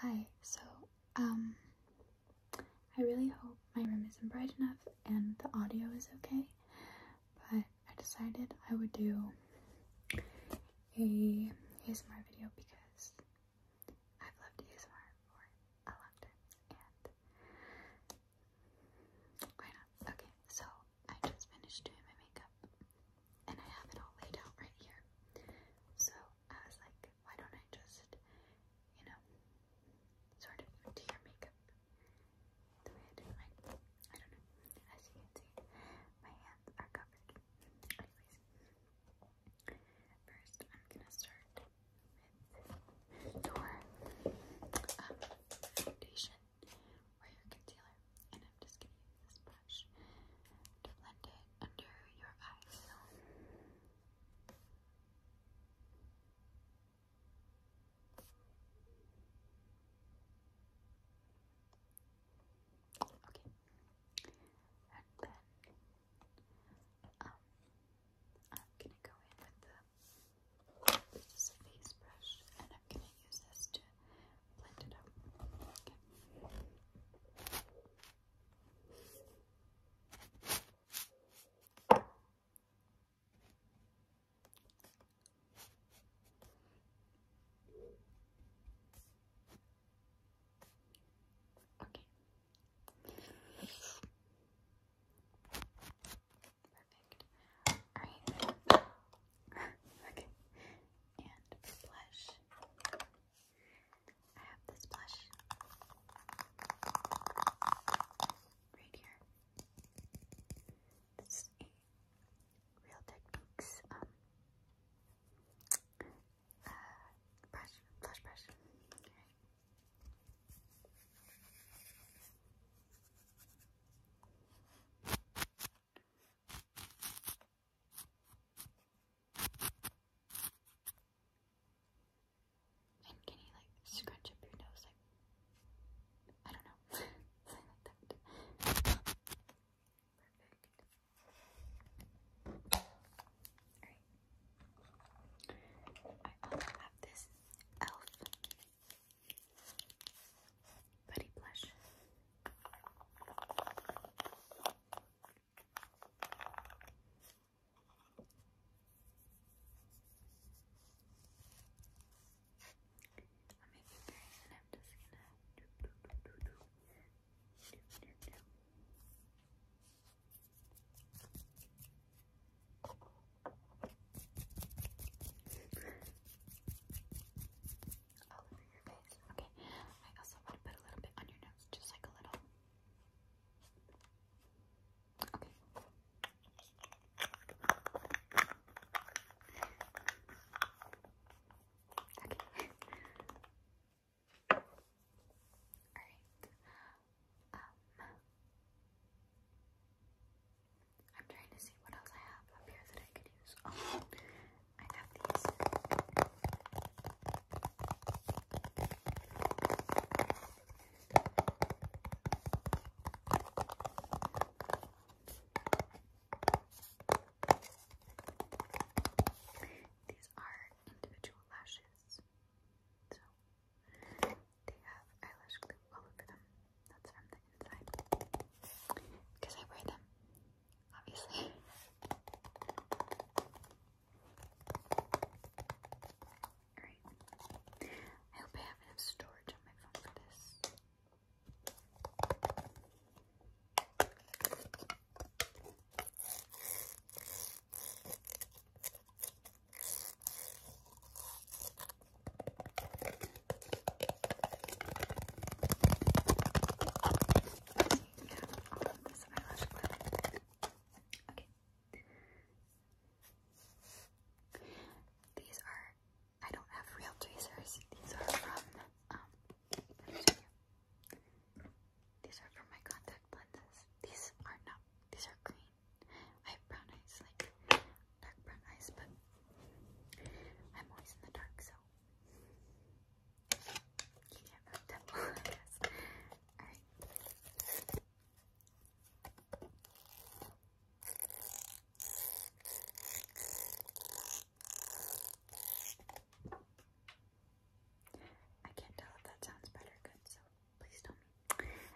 Hi, so um I really hope my room isn't bright enough and the audio is okay, but I decided I would do a ASMR video because I've loved ASMR for a long time and why not? Okay, so I just finished doing my makeup and I have it all laid out right here. So I was like, why don't I just, you know, sort of do your makeup the way I did mine? I don't know. As you can see, my hands are covered. Anyways, first I'm gonna start with your um, foundation or your concealer and I'm just going this brush to blend it under your eyes. Okay, and then um, I'm gonna go in with the face brush, and I'm gonna use this to blend it up. Okay. Perfect. All right. okay. And blush. I have this blush right here. This is a Real Techniques um uh, brush, blush brush. Okay. And can you like scrunch up your nose like I don't know. Perfect. I also have this elf Buddy blush. On my fingers, and I'm just gonna do, do, do, do, do, do, all over Okay. I also want to put a little bit on your nose, just like a little. Okay. Okay. Alright. Um I'm trying to see what else I have up here that I could use. Oh, I have these. These are individual lashes. So they have eyelash glue all over them. That's from the inside. Because I wear them, obviously. Alright. I hope I have enough storage on my phone for this. Okay. These are I don't have real tweezers. These are from um, these are from my contact lenses. These are not these are green. I have brown eyes, like dark brown eyes, but I'm always in the dark, so you can't really I guess. Alright. I can't tell if that sounds better good, so Please tell me.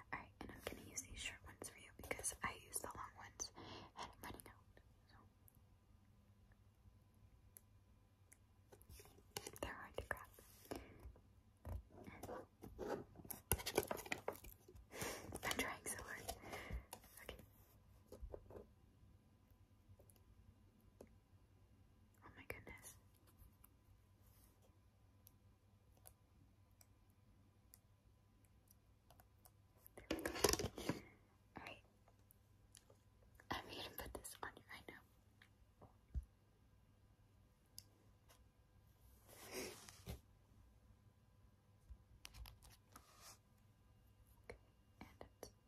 Alright, and I'm gonna use these short ones for you because I use the long ones and running out. So they're hard to grab. I'm trying so hard. Okay. Oh my goodness. There Alright. I'm going to put this on you right now. okay, and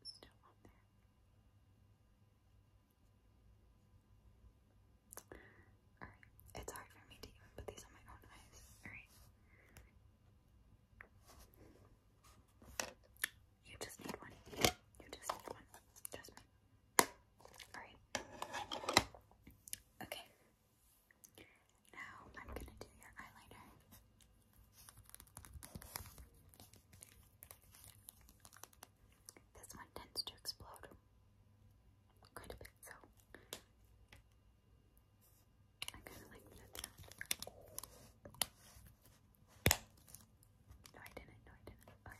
it's still on there. Alright, it's hard for me to even put these on my own eyes. Alright. You just need one. You just need one. Just me. Alright. Okay. Now I'm gonna do your eyeliner. This one tends to explode quite a bit, so I kind of like that. No, I didn't. No, I didn't. Okay.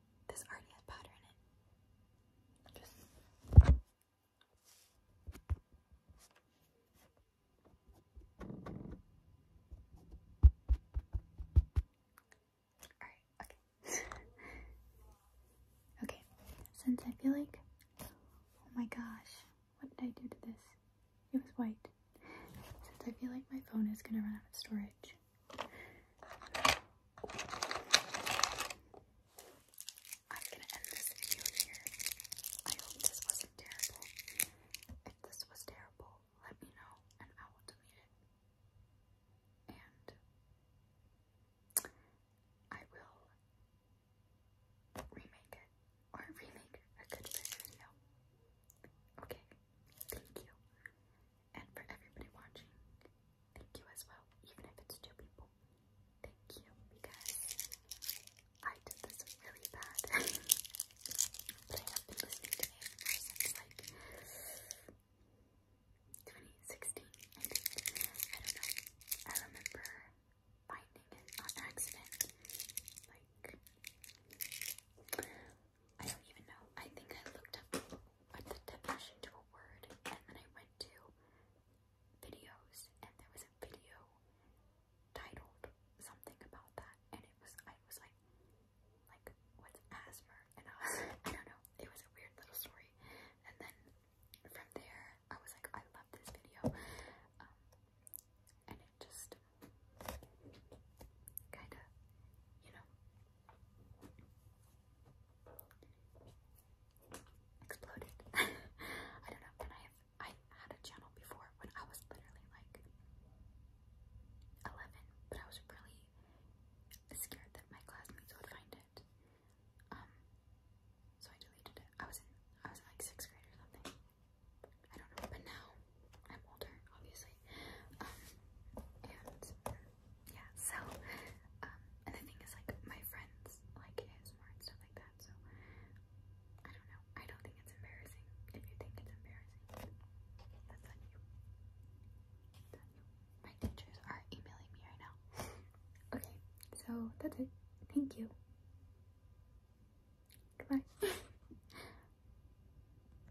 This already had powder in it. Alright, okay. okay, since I feel like, oh my gosh, what did I do to this? It was white. Since I feel like my phone is gonna run out of storage, I'm going to end this video here. I hope this wasn't terrible. If this was terrible, let me know and I will delete it. And I will remake it or remake a good video. Okay, thank you and for everybody watching. Thank you as well, even if it's two people. Thank you because I did this really bad. but I have been listening to ASMR since like 2016, I don't know. I remember finding it on accident. Like, I don't even know. I think I looked up what the definition to a word, and then I went to videos, and there was a video titled something about that, and it was I was like, like what's asthma? And I was I don't know. It was a weird little story, and then from there I was like, I love this video, um, and it just kind of, you know, exploded. I don't know, and I have I had a channel before when I was literally like 11, but I was really scared that my classmates would find it. Um, so I deleted it. I was in I was like sixth grade or something. I don't know, but now I'm older, obviously. Um, and yeah, so, um, and the thing is, like, my friends like ASMR and stuff like that, so, I don't know, I don't think it's embarrassing, if you think it's embarrassing, that's on you, that's on you, my teachers are emailing me right now, okay, so, that's it, thank you, goodbye.